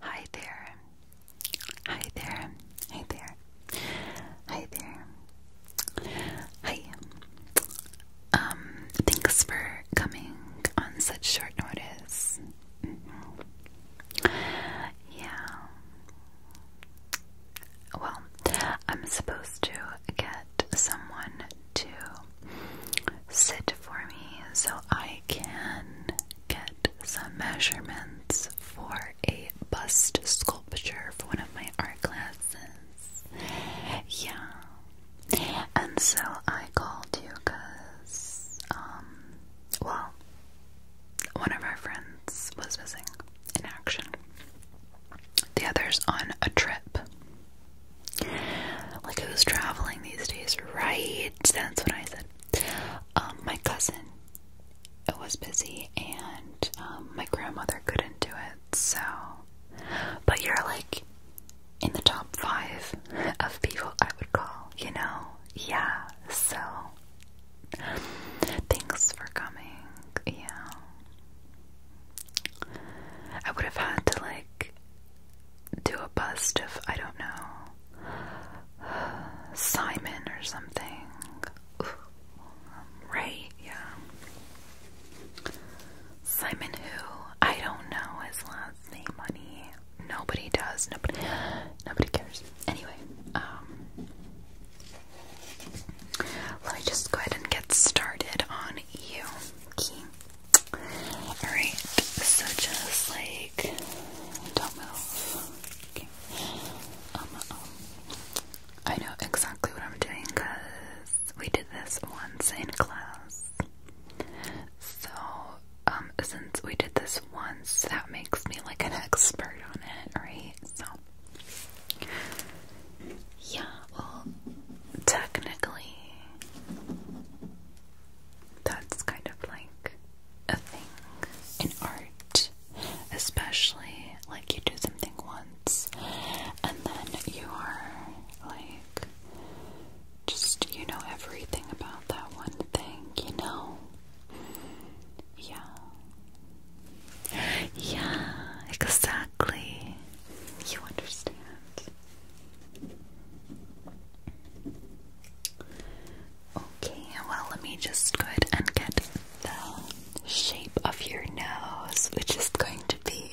Hi there. Hi there. Hey there. Hi there. Hi. Um, thanks for coming on such short notice. Mm-hmm. Yeah. Well, I'm supposed to get someone to sit for me so I can get some measurements for a bust sculpture for one of my art classes. Yeah. And so I called you because, um, well, one of our friends was missing in action. The other's on a trip like who's traveling these days, right? That's what I said. Um, my cousin was busy, and um, my grandmother couldn't do it. So, but you're like in the top five of people I would call. You know, yeah. So, thanks for coming. Yeah, I would have had to like do a bust of, I don't know, Simon or something. Right? Yeah. Simon who? I don't know his last name, Money. Nobody does. Nobody nobody cares. Anyway, um let me just go ahead and get started on you. Alright, so just like don't move. Um, um, I know exactly what I'm doing because we did this once in class. So, um, since we did this once, that makes me like an expert on it, right? So, yeah. Well, technically, that's kind of like a thing in art, especially like you do something once and then you are like just you know everything about that one thing, you know. Yeah. Yeah, exactly. You understand. Okay, well, let me just go ahead and get the shape of your nose, which is going to be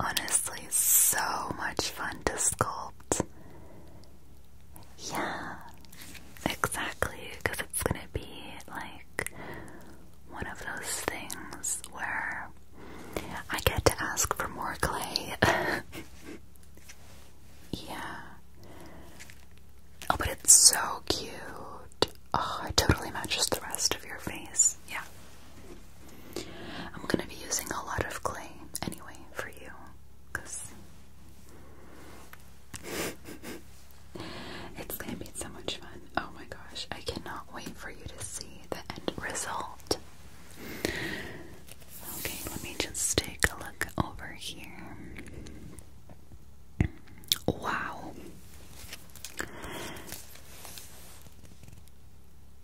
honestly so much fun to sculpt. Yeah, exactly, because it's gonna be like one of those things where I get to ask for more clay. yeah. Oh, but it's so cute. Oh, it totally matches the rest of your face. Yeah. I'm gonna be using a lot of clay anyway for you, because it's gonna be so much fun. Oh my gosh, I cannot wait for you to see the end result. Okay, let me just take a look over here. Wow.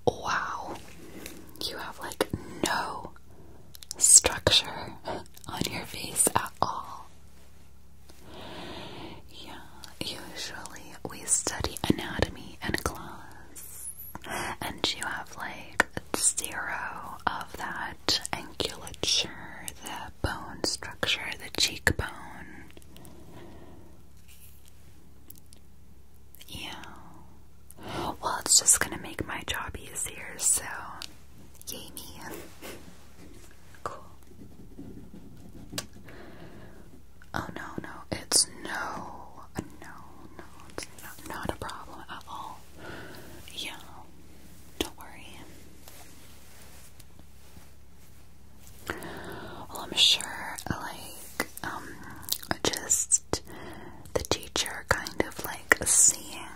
Wow. You have like no structure on your face at all. Yeah, usually we study anatomy in class and you have like zero of that angulature, the bone structure, the cheekbone. Yeah. Well, it's just gonna make my job easier, so yay me. cool. Oh no, no, it's no, uh, no, no, it's not, a problem at all. Yeah, don't worry. Well, I'm sure, like, um, just the teacher kind of like seeing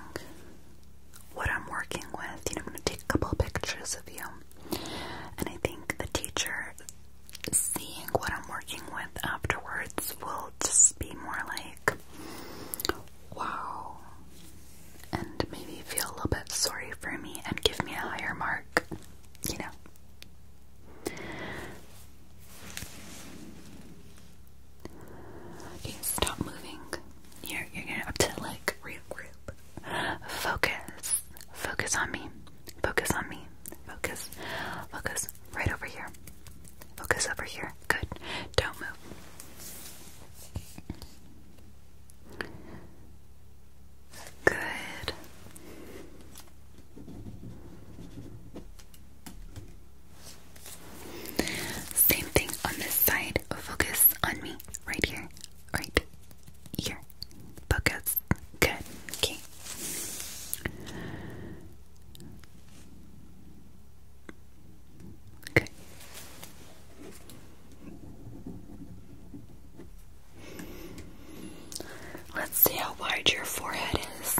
what I'm working with. You know, I'm gonna take a couple pictures of you, and I think the teacher seeing what I'm working with afterwards will just be more like, wow, and maybe feel a little bit sorry for me and give me a higher mark, you know. stop moving. You're, you're gonna have to like regroup. Focus. Focus on me. Focus on me. Focus. Focus. Right over here. Focus over here. Good. Don't move. Good. Same thing on this side. Focus on me. Right here. Right here. Focus. Good. Okay. Good. Let's see how wide your forehead is.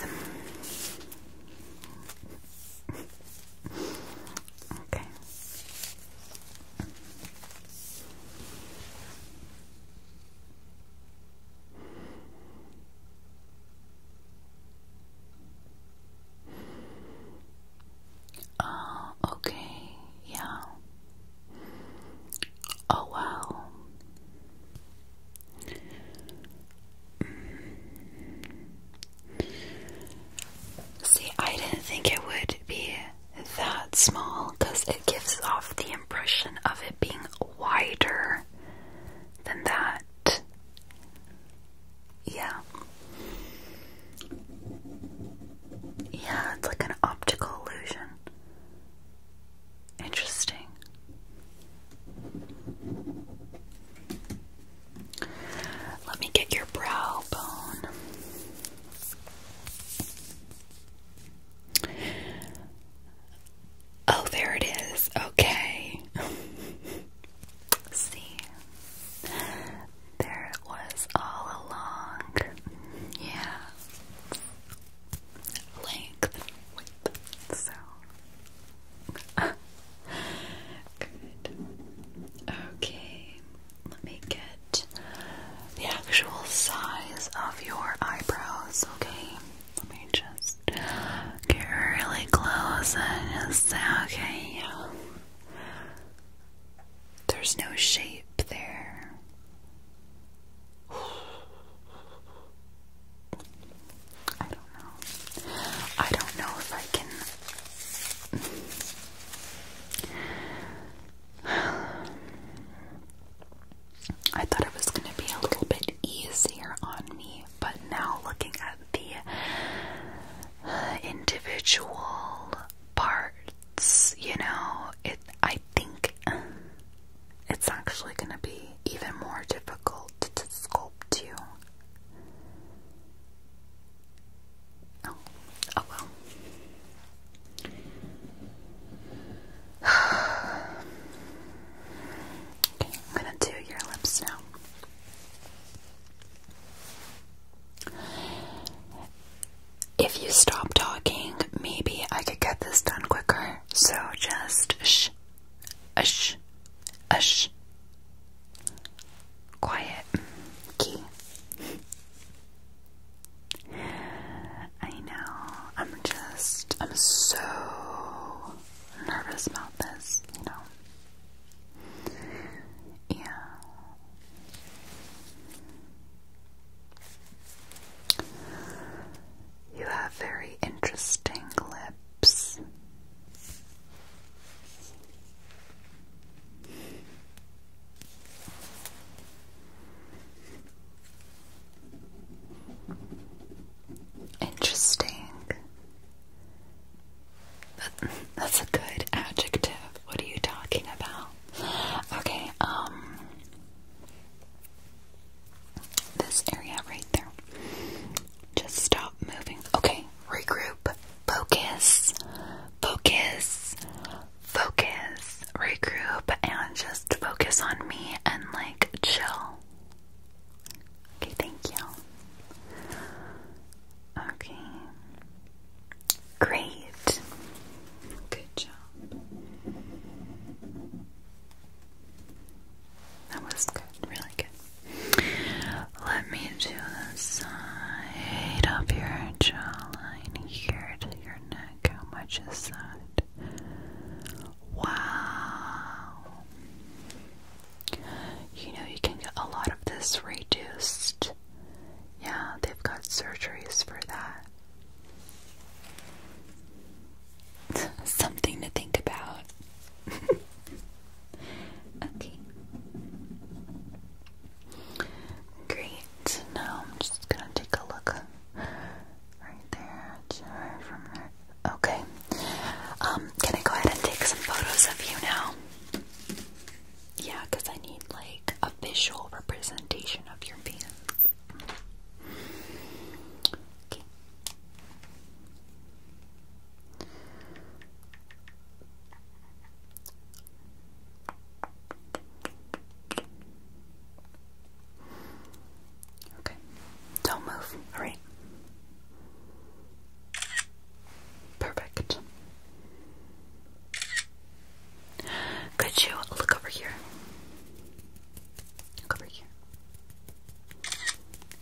Okay. Oh, okay, yeah. Oh, wow. See, I didn't think it would be that small because it gives off the impression of it being wider than that. Yeah. Yeah, it's like an optical illusion. Interesting. Let me get your brow bone. Oh, there it is. Okay. See, there it was all along. Yeah. Length. Width. So. Good. Okay. Let me get the actual size of your eyebrows, okay? Let me just get really close and say, okay, There's no shape there. I don't know. I don't know if I can. I thought it was going to be a little bit easier on me, but now looking at the individual parts, you know, it I think it's actually going to be even more difficult to sculpt you. Oh, oh well okay, I'm gonna do your lips now. If you stop talking, maybe I could get this done quicker. So just shh, shh, shh. Quiet. Key. I know. I'm just, I'm so nervous about this, you know? Yeah. You have very interesting lips. Interesting. that's a good adjective. What are you talking about? Okay, um this area right there. Just stop moving. Okay, regroup. Focus. Focus. Focus. Regroup and just focus on me and like chill. Okay, thank you. Okay. Great. Good job. That was good, really good. Let me do the side of your jawline here your neck. How much is that? Wow. You know, you can get a lot of this reduced. Yeah, they've got surgeries for that. Something to think about. okay. Great. Now I'm just gonna take a look Right there, sure, from Okay. Um, can I go ahead and take some photos of you now? Yeah, because I need like a visual representation of your pants. Okay. Don't move. Alright. Perfect. Could you look over here? Look over here.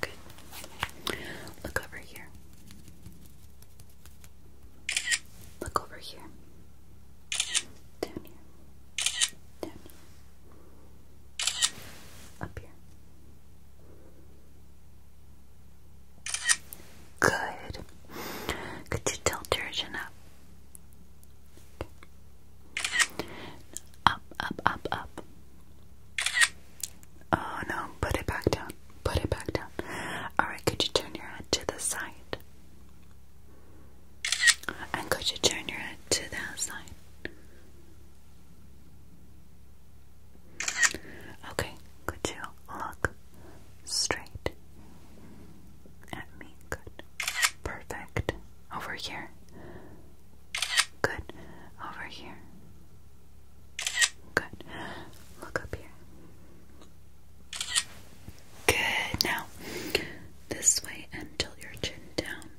Good. Look over here. Look over here. Down here. Down here. Up here. Good. Could you tilt your chin up? Up, up, up, up. Oh no, put it back down. Put it back down. Alright, could you turn your head to the side? And could you turn your head to the side? Okay, could you look straight at me? Good. Perfect. Over here. Good. Over here. Good. Look up here. Good. Now, this way and your chin down.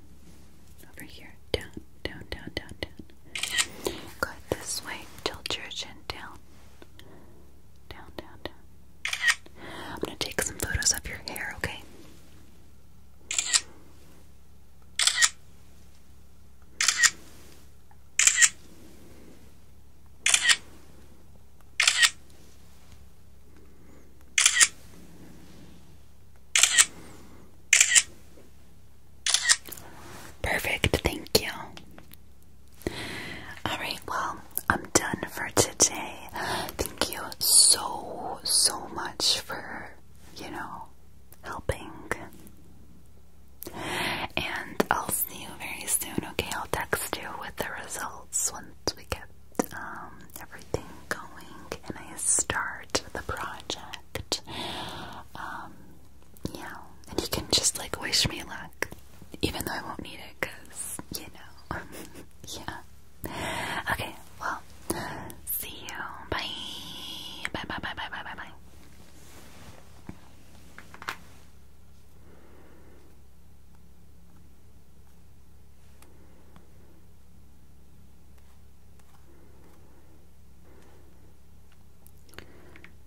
Over here. Down, down, down, down, down. Go this way. Tilt your chin down. Down, down, down. I'm gonna take some photos of your hair, Okay. Perfect, thank you. Alright, well, I'm done for today. Thank you so, so much for, you know, helping. And I'll see you very soon, okay? I'll text you with the results once we get um, everything going and I start the project. Um, yeah, and you can just like wish me luck, even though I won't need it because, you know, yeah. Okay, well, see you. Bye. Bye, bye, bye, bye, bye, bye, bye.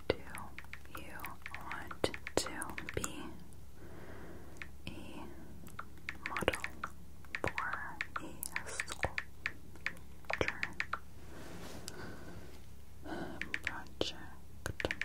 Do you want to be a model for a sculpture project